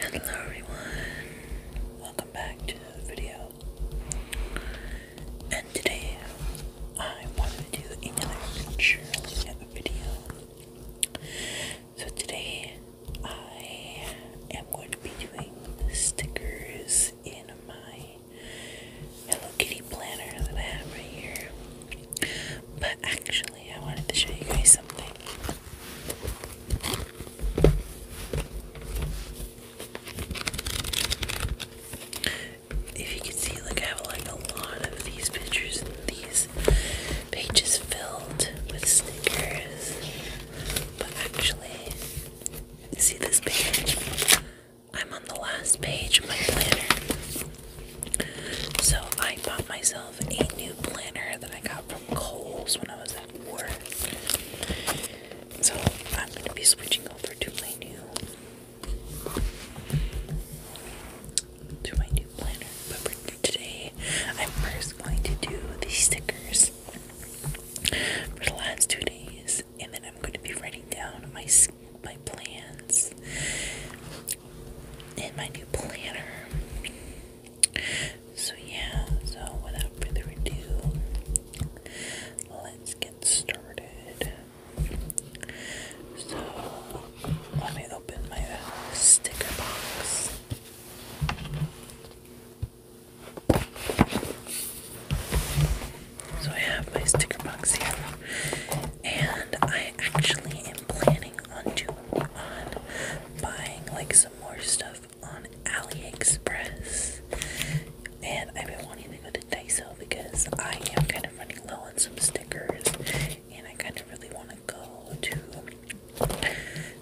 Hello everyone, welcome back to the video. And today I wanted to do another cheerleading video. So today I am going to be doing stickers in my Hello Kitty planner that I have right here. But actually, I wanted to show you guys something. If you can see, like I have like a lot of these pictures these this page is filled with stickers. But actually, see this page? I'm on the last page of my planner. So I bought myself a new planner that I got from Kohl's when I was at work. So I'm going to be switching over to my new to my new planner. But for today, I'm first going to do the stickers for the last two days, and then I'm going to be writing down my my plans in my new planner. So yeah, so without further ado, let's get started. So let me open my uh, sticker box. So I have my sticker box here, and I actually am planning on doing on buying like some more stuff on AliExpress. And I've been wanting to go to Daiso because I am kind of running low on some stickers and I kind of really want to go to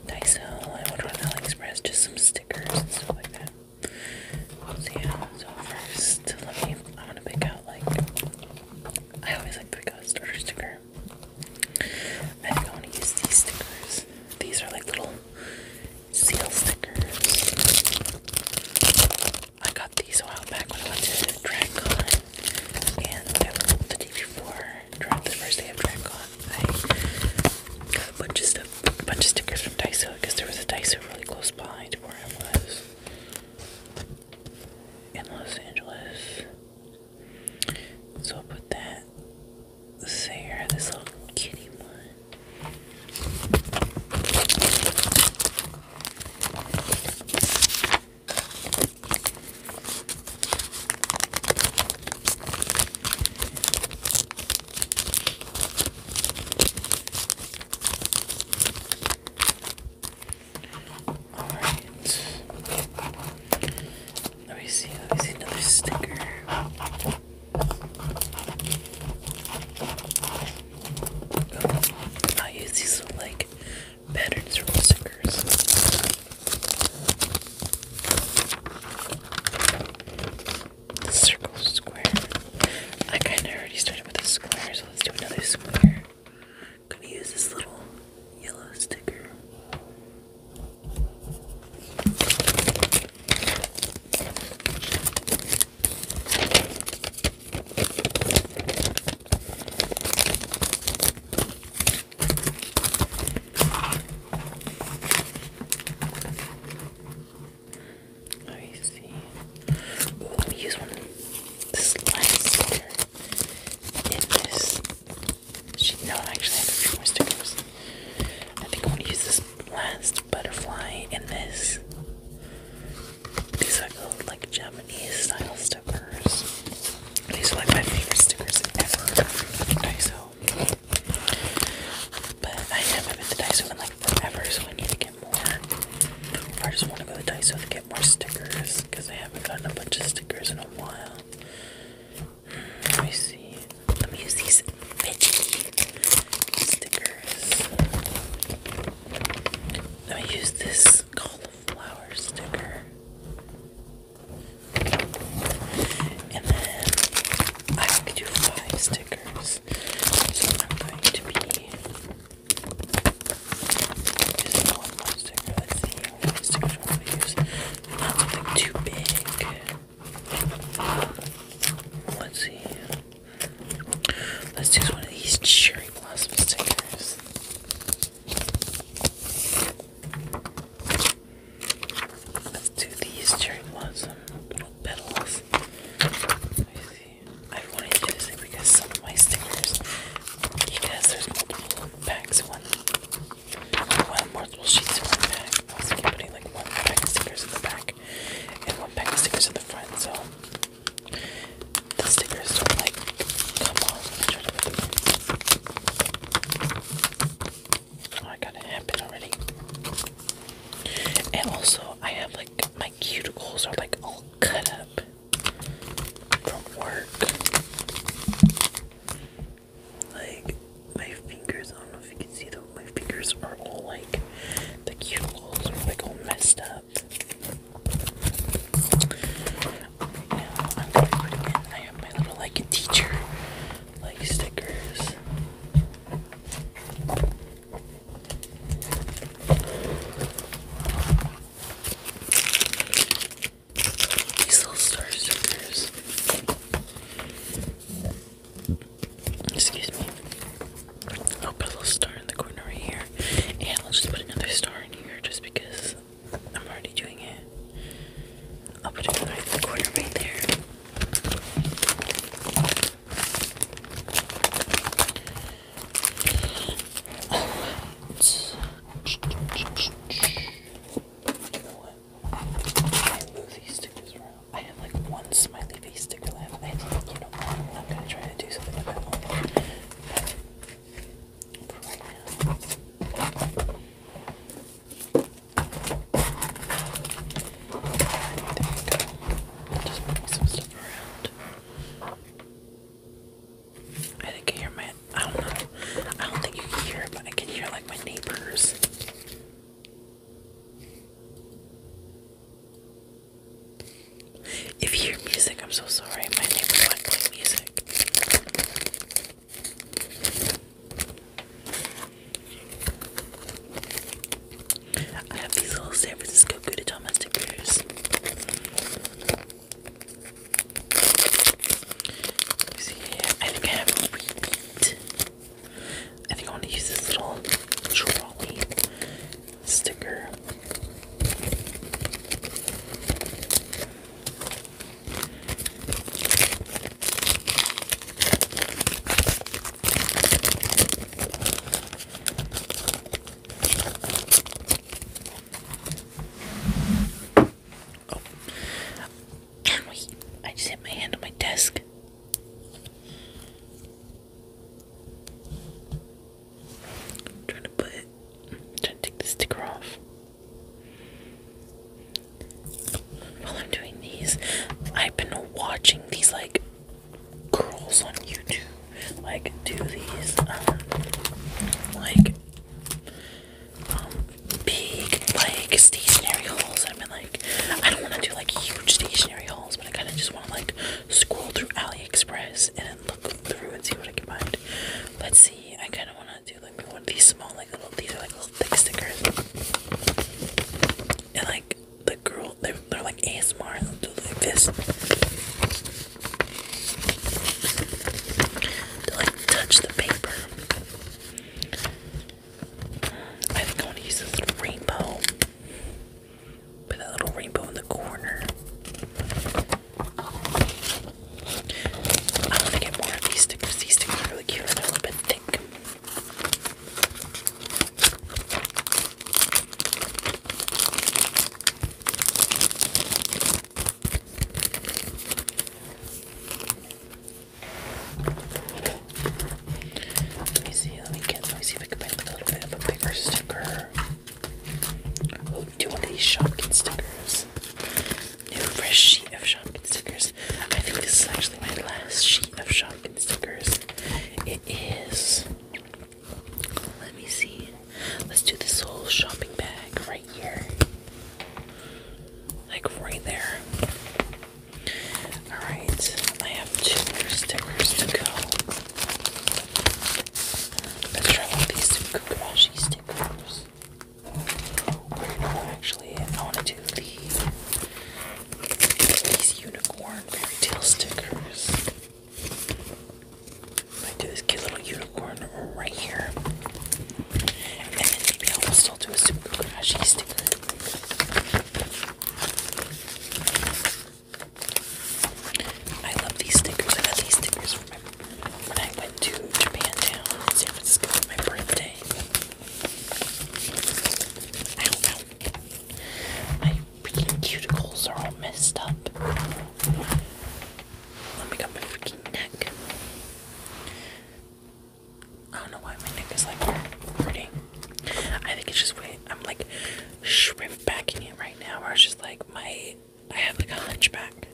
Daiso and order on AliExpress just some stickers and stuff like that. So yeah, so first let me i want to pick out like I always like to pick out a starter sticker. I think I want to use these stickers. These are like little seal stickers. I got these a while back when I went to DragCon. And the day before, during the first day of DragonCon, I got a bunch of stuff, a bunch of stickers from Daiso because there was a Daiso really close by where I was in Los Angeles. So I'll put that there, this little kitty one. All right. Let me see. Let me see another sticker. Oh, I use these little, like patterns from stickers. circle square. I kinda already started with a square, so let's do another square. gonna use this little yellow sticker. Let me see. let me use one. This last in this. She, no, I have a few more stickers. I think I want to use this last butterfly in this. These are called like gem these style stickers. These are like my favorite stickers ever Daiso. But I haven't been to Daiso in like forever, so I need to get more. I just want to go to Daiso to get more stickers because I haven't gotten a bunch of stickers in a while. Hmm, let me see. Let me use these stickers. Let me use this cauliflower sticker. And then I can do five stickers. So I'm going to be using one sticker. Let's see how many going to use. Not something too big. Let's see. Let's use one of these cherry blossom stickers. Let's do these cherry blossom little petals. I wanted to do this thing because some of my stickers, because there's multiple packs, one, one multiple sheets in one pack. I putting like one pack of stickers in the back and one pack of stickers in the front, so the stickers don't like come off. Try to put them in. Oh, I got a happen already. And also, I have like my cuticles are like all cut up from work. Like my fingers, I don't know if you can see them. My fingers are all like the cuticles are like all messed up right now I'm going I have my little like teacher like stickers. These little star stickers. Excuse me. I'll put a little star in the corner right here. And I'll just put another star in here just because I'm already doing it. I'll put it in the corner right there. Alright. I move these stickers around. I have like one smiley face sticker left. I think, you know what? I'm gonna try to do something about that one. right now, just move some stuff around. I think hear my. I don't know. I don't think you can hear it, but I can hear like my neighbors. If you hear music, I'm so sorry. My neighbors like play music. I have these little San Francisco Gudetama stickers. see I think I have I think I want to use this little trolley sticker. Oh, wait, I just hit my hand on my desk. trying to put trying to take the sticker off. While I'm doing these, I've been watching these like girls on YouTube like do these um, like um, big like stationary hauls. I've been like I don't wanna do like huge stationary hauls, but I kinda just wanna like scroll through AliExpress and look through and see what I can find. Let's see, I kinda wanna do like one of these small like little these are like little thick stickers and like the girl they're, they're like ASMR and they do like this like touch the paper I think I want to use this little rainbow put that little rainbow in the corner I want to get more of these stickers. These stickers are really cute a little bit thick. Let me see, let me get let me see if I can find a little bit of a bigger sticker link to one of these Shopkin stickers. New fresh sheet of Shopkin stickers. I think this is actually my last sheet of Shopkin stickers. It is. Let me see. Let's do this whole shopping bag right here. Like right there. Alright, I have two more stickers to go. Let's try one of these Kukamashi stickers. Wait, no, actually, I want to do the these unicorn fairy tale stickers. I do this cute little unicorn right here, and then maybe I will still do a super crashy sticker. I love these stickers. I got these stickers I went to Japantown in San Francisco for my birthday. My cuticles are all messed up. Let me got my freaking neck. I don't know why my neck is like hurting. I think it's just way I'm like shrimp backing it right now, or it's just like my I have like a hunchback.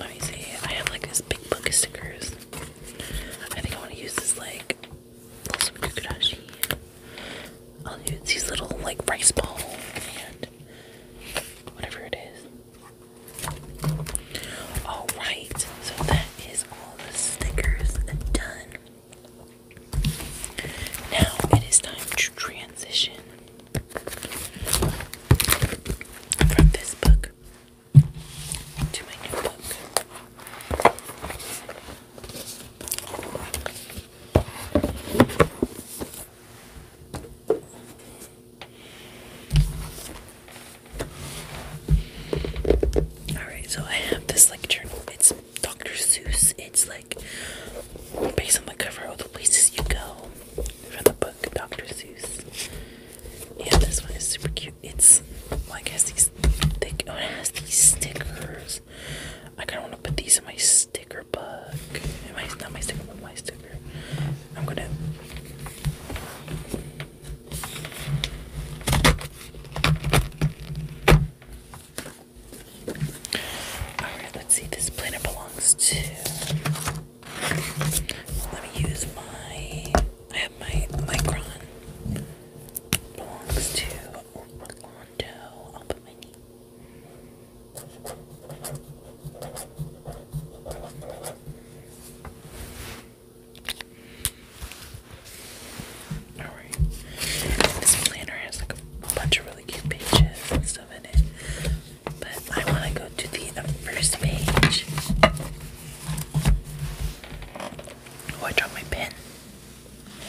Let me see. I have like this big book of stickers. I think I want to use this like some kukurashi. I'll use these little like rice balls and whatever it is. All right. So that is all the stickers done. Now it is time to transition from this book to my new book. Alright, so I have this like journal. It's Dr. Seuss. It's like based on the cover, of the places you go from the book Dr. Seuss. yeah, this one is super cute. It's well, I these oh, it has these stickers. I kinda wanna put these in my sticker book. In my not my sticker book, my sticker. I'm gonna Alright, let's see. This planner belongs to. Let me use my. I have my Micron. Belongs to Orlando. Oh, i Alright. This planner has like a bunch of really cute pages and stuff in it but I want to go to the first page. Oh, I dropped my pen.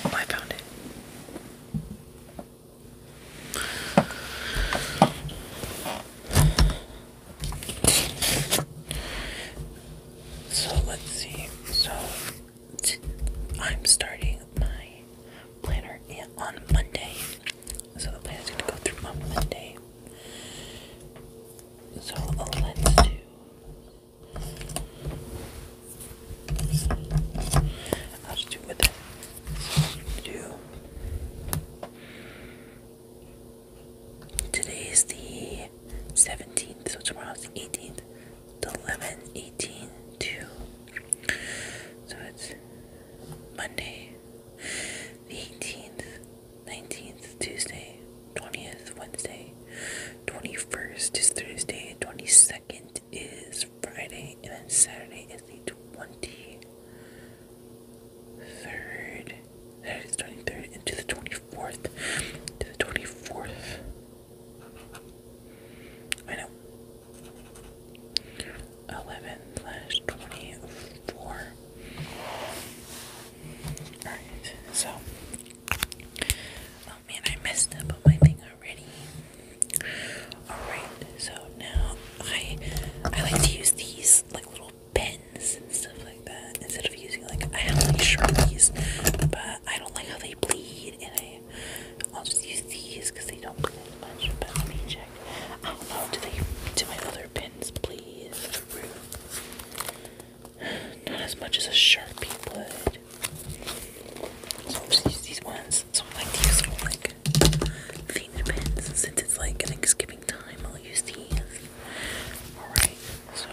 Oh, I found it. So let's see. So I'm starting my planner yeah, on Monday. So the plan is going to go through on Monday. So let's do. I'll just do with it. do. Today is the 17th, so tomorrow's the 18th. The eleventh, eighteenth. 2. So it's Monday, the 18th, 19th, Tuesday, 20th, Wednesday, 21st is Thursday, 22nd is Friday, and Saturday is the 23rd. That is 23rd into the 24th. To the 24th. I know. Eleven twenty four. Alright, so oh man, I messed up on my thing already. Alright, so now I I like to use these like little pens and stuff like that instead of using like I have sharpies, but I don't like how they bleed and I I'll just use these because they don't bleed much. But let me just check. I do they do my other pins, please? Not as much as a sharpie would. So I'll just use these ones. So I like to use like themed pins since it's like I Thanksgiving time. I'll use these. All right. So.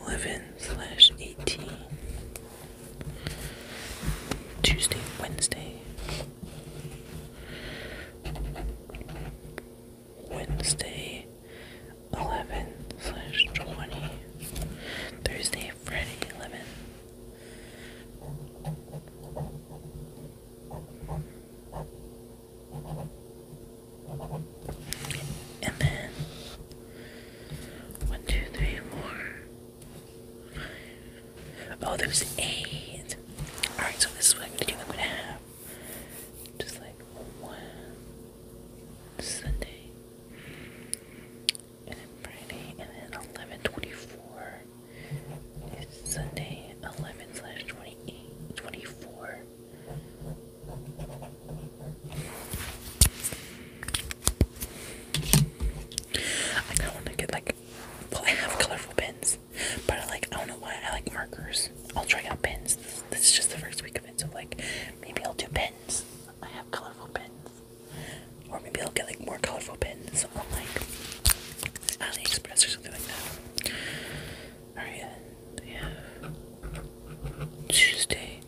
Eleven slash eighteen. Tuesday, Wednesday. Wednesday, eleven slash twenty. Thursday, Friday, eleven. And then one, two, three, four, five. Oh, there's eight. Alright, so this is what I'm gonna do. I'm gonna have just like Sunday, and then Friday, and then 1124 is Sunday 11 slash 28, 24. I kind of want to get like, well, I have colorful pens, but like, I don't know why, I like markers. I'll try out pins. This, is just the first week of it, so like, maybe I'll do pins. I have colorful pens. Or maybe I'll get like more colorful pins on like AliExpress or something like that. Alright, then have Tuesday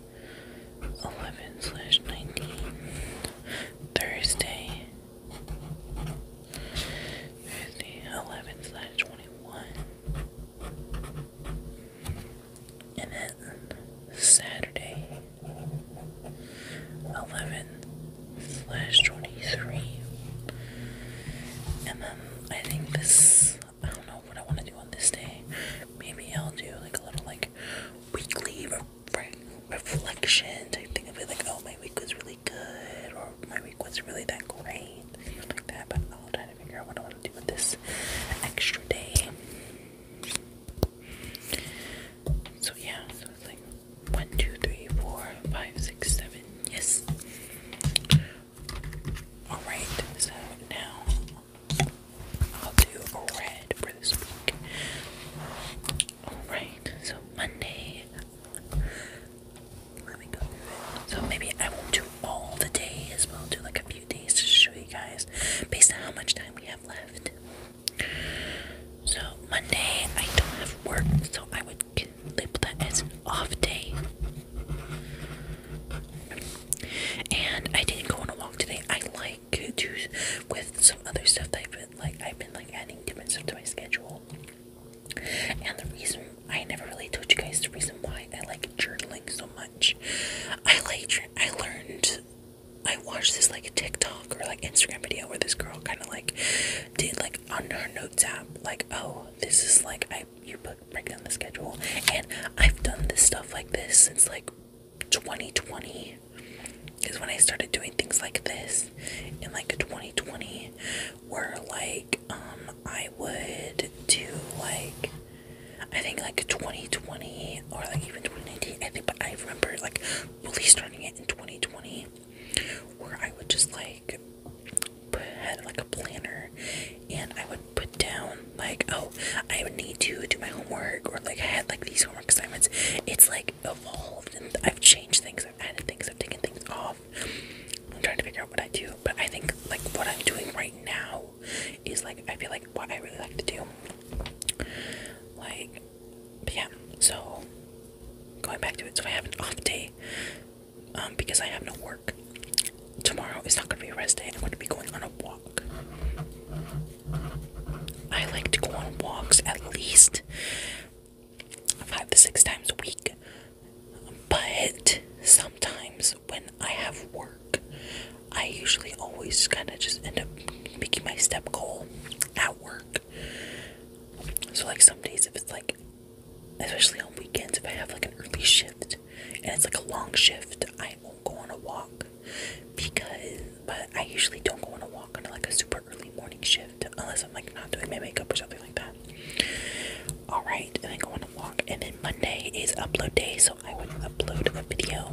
11 slash 19, Thursday, Thursday 11 slash 21, and then Saturday 11 slash 23. And then I think this I don't know what I want to do on this day. Maybe I'll do like a little like weekly re re reflection type thing. I'll be like, oh, my week was really good, or my week was really that great, like that. But I'll try to figure out what I want to do with this extra day. So yeah, so it's like one, two, three, four, five, six, seven. Yes. Alright, so now I'll do red for this week. Alright, so Monday. Let me go through it. So maybe I won't do all the days, but I'll do like a few days to show you guys based on how much time we have left. So Monday I don't have work, so I would label that off day. And I didn't go on a walk today. I like to with some other stuff that I've been like I've been like adding different stuff to my schedule. And the reason I never really told you guys the reason why I like journaling so much. I like I learned I watched this like TikTok or like Instagram video where this girl kind of like did like on her notes app like oh this is like I you put break down the schedule. And I've done this stuff like this since like 2020 because when I started doing things like this in like 2020 where like um I would do like I think like 2020 or like even 2019 I think but I remember like really starting it in 2020 where I would just like had like a planner and I would put down like, oh, I would need to do my homework or like I had like these homework assignments. It's like evolved and I've changed things, I've added things, I've taken things off. I'm trying to figure out what I do, but I think like what I'm doing right now is like I feel like what I really like to do. Like, yeah, so going back to it, so I have an off day um, because I have no work. Tomorrow is not going to be a rest day. I'm going to be going on a walk. I like to go on walks at least five to six times a week. But sometimes when I have work, I usually always kind of just end up making my step goal at work. So, like, some days, if it's like, especially on weekends, if I have like an early shift, and it's like a long shift, I won't go on a walk because but I usually don't go on a walk on like a super early morning shift unless I'm like not doing my makeup or something like that. Alright, and then go on a walk and then Monday is upload day, so I would upload a video.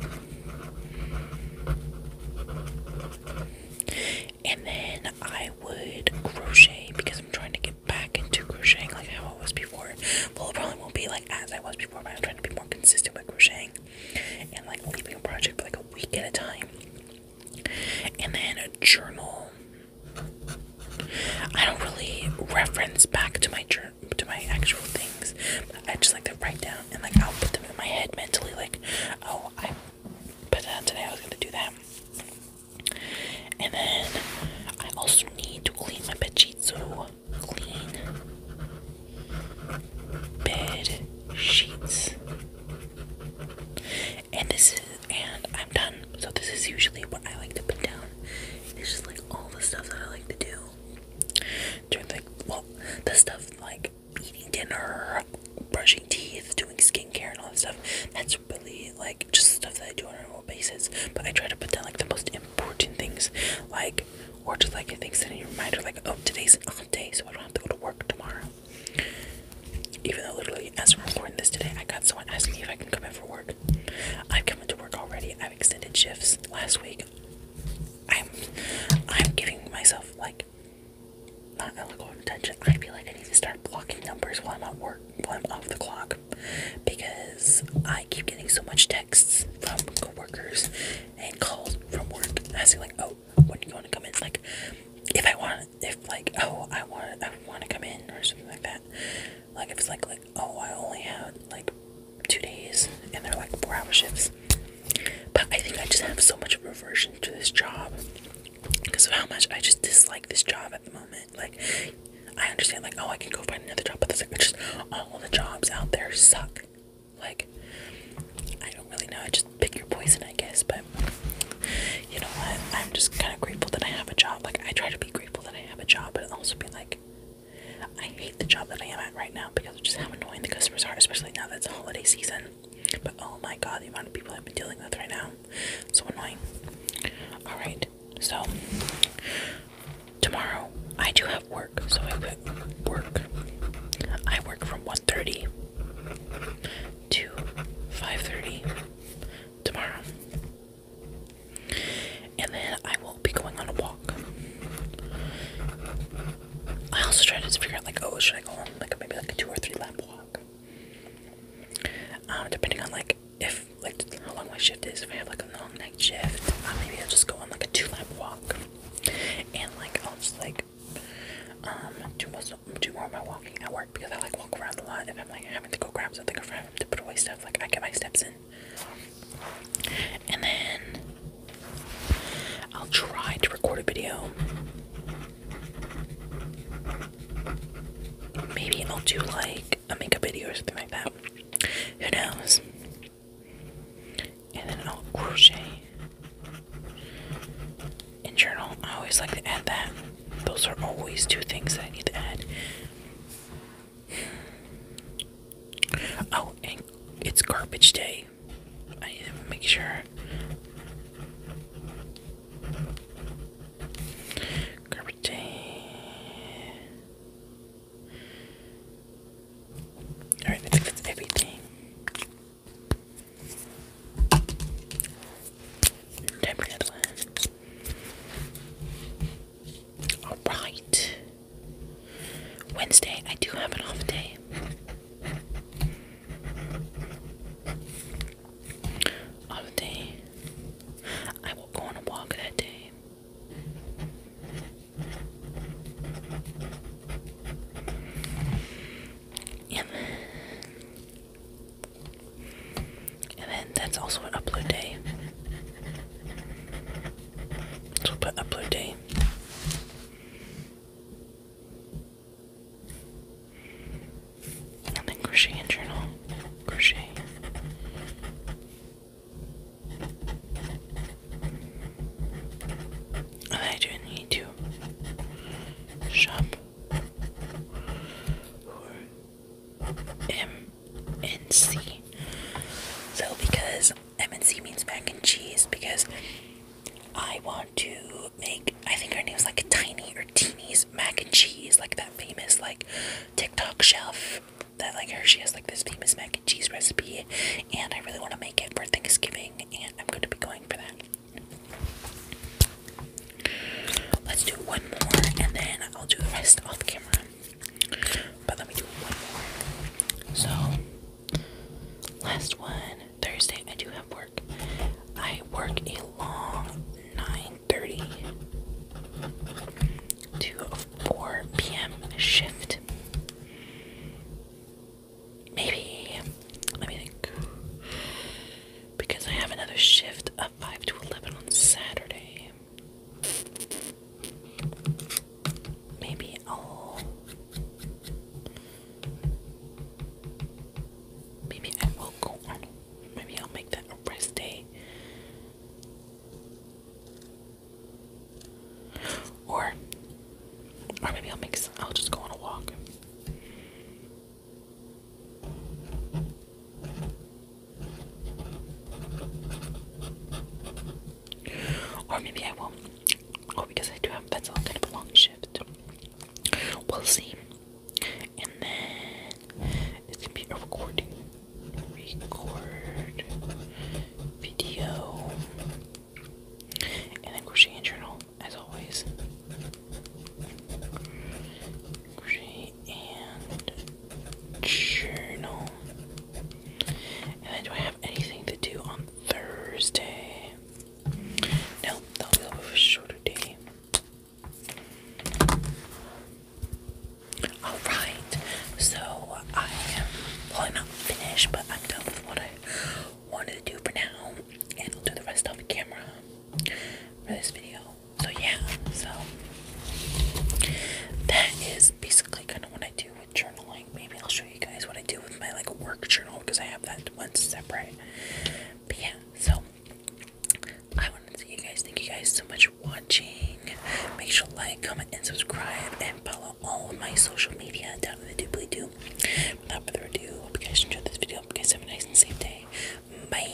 And then I would crochet because I'm trying to get back into crocheting like how I was before. Well, it probably won't be like as I was before, but I'm trying to be more consistent with crocheting and like leaving a project for like a week at a time. And then a journal. I don't really reference back to my journal to my actual things. I just like to write down and like I'll put them in my head mentally like, oh I but that today I was gonna do that. And then I also need to clean my bed so clean bed sheets. And this is and I'm done. So this is usually what I like to put down. It's just like all the stuff that I like to do. During like well, the stuff like eating dinner, brushing teeth, doing skincare and all that stuff. That's really like just stuff that I do on a normal basis. But I try to put down like the most important things like or just like things that in your mind are like oh today's off day so I don't have to go to work tomorrow. Even though literally as we're recording this today I got someone asking me if I can come in for work. I've come into work already. I've extended shifts last week. I'm I'm giving myself like not alcohol attention. I would be like I need to start blocking numbers while I'm at work while I'm off the clock because I keep getting so much texts from coworkers and calls from work asking like, oh, when do you want to come in? Like, if I want, if like, oh, I want, I want to come in or something like that. Like if it's like, oh, I only have like two days and they're like four hour shifts. But I think I just have so much aversion to this job because of how much I just dislike this job at the moment. Like, I understand, like, oh, I can go find another job, but that's like, it's just all the jobs out there suck. Like, I don't really know. I just pick your poison, I guess. But you know what? I'm just kind of grateful that I have a job. Like, I try to be grateful that I have a job, but also be like, I hate the job that I am at right now because of just how annoying the customers are, especially now that it's holiday season. But oh my god, the amount of people I've been dealing with right now. So annoying. Alright, so tomorrow I do have work, so I work. I work from 1:30 to 5:30 tomorrow. And then I will be going on a walk. I also tried to figure out like, oh, should I go on like maybe like a two or three lap walk? Um, depending on like if like how long my shift is if I have like a long night shift uh, maybe I'll just go on like a two lap walk and like I'll just like um do most do more of my walking at work because I like walk around a lot if I'm like having to go grab something or having to put away stuff like I get my steps in and then I'll try to record a video maybe I'll do like like a makeup video or something like that. Who knows? And then an oh, old crochet and journal. I always like to add that. Those are always two things that I need to add. Oh, and it's garbage day. I need to make sure. Garbage day. Alright, I think that's everything. Time for Alright. Wednesday, I do have an off day. Off day. I will go on a walk that day. And and then that's also an upload day. So we upload day. And then crochet journal. Crochet. I do not need to shop for MNC. So, because MNC means mac and cheese, because I want to make, I think her name's like Tiny or Teeny's mac and cheese, like that famous, like TikTok chef that like her she has like this famous mac and cheese recipe and I really want to make it for Thanksgiving and I'm going to be going for that. Let's do one more and then I'll do the rest off camera. But let me do one more. So last one Thursday I do have work. I work a long 9:30 to 4 p.m. shift. Maybe, let me think. Because I have another shift of 5 to 11 on Saturday. Maybe I'll. Maybe I will go on. Maybe I'll make that a rest day. Or, or maybe I'll make. Some, I'll just go on a walk. Or maybe I won't. Oh, because I do have that's all kind of a long shift. We'll see. And then it's gonna be a recording record video and then crochet and journal as always. Crochet and journal. And then do I have anything to do on Thursday? No, that'll be a little a shorter day. Alright, so I am, well, I'm not finished, but I'm done with what I wanted to do for now, and I'll do the rest off camera for this video. So, yeah, so that is basically kind of what I do with journaling. Maybe I'll show you guys what I do with my like work journal because I have that one separate, but yeah, so I wanted to you guys. Thank you guys so much for watching. Make sure to like, comment, and subscribe, and follow all of my social media down in the doobly doo. Without further ado, hope you guys enjoyed this video. Hope you guys have a nice and safe day. Bye.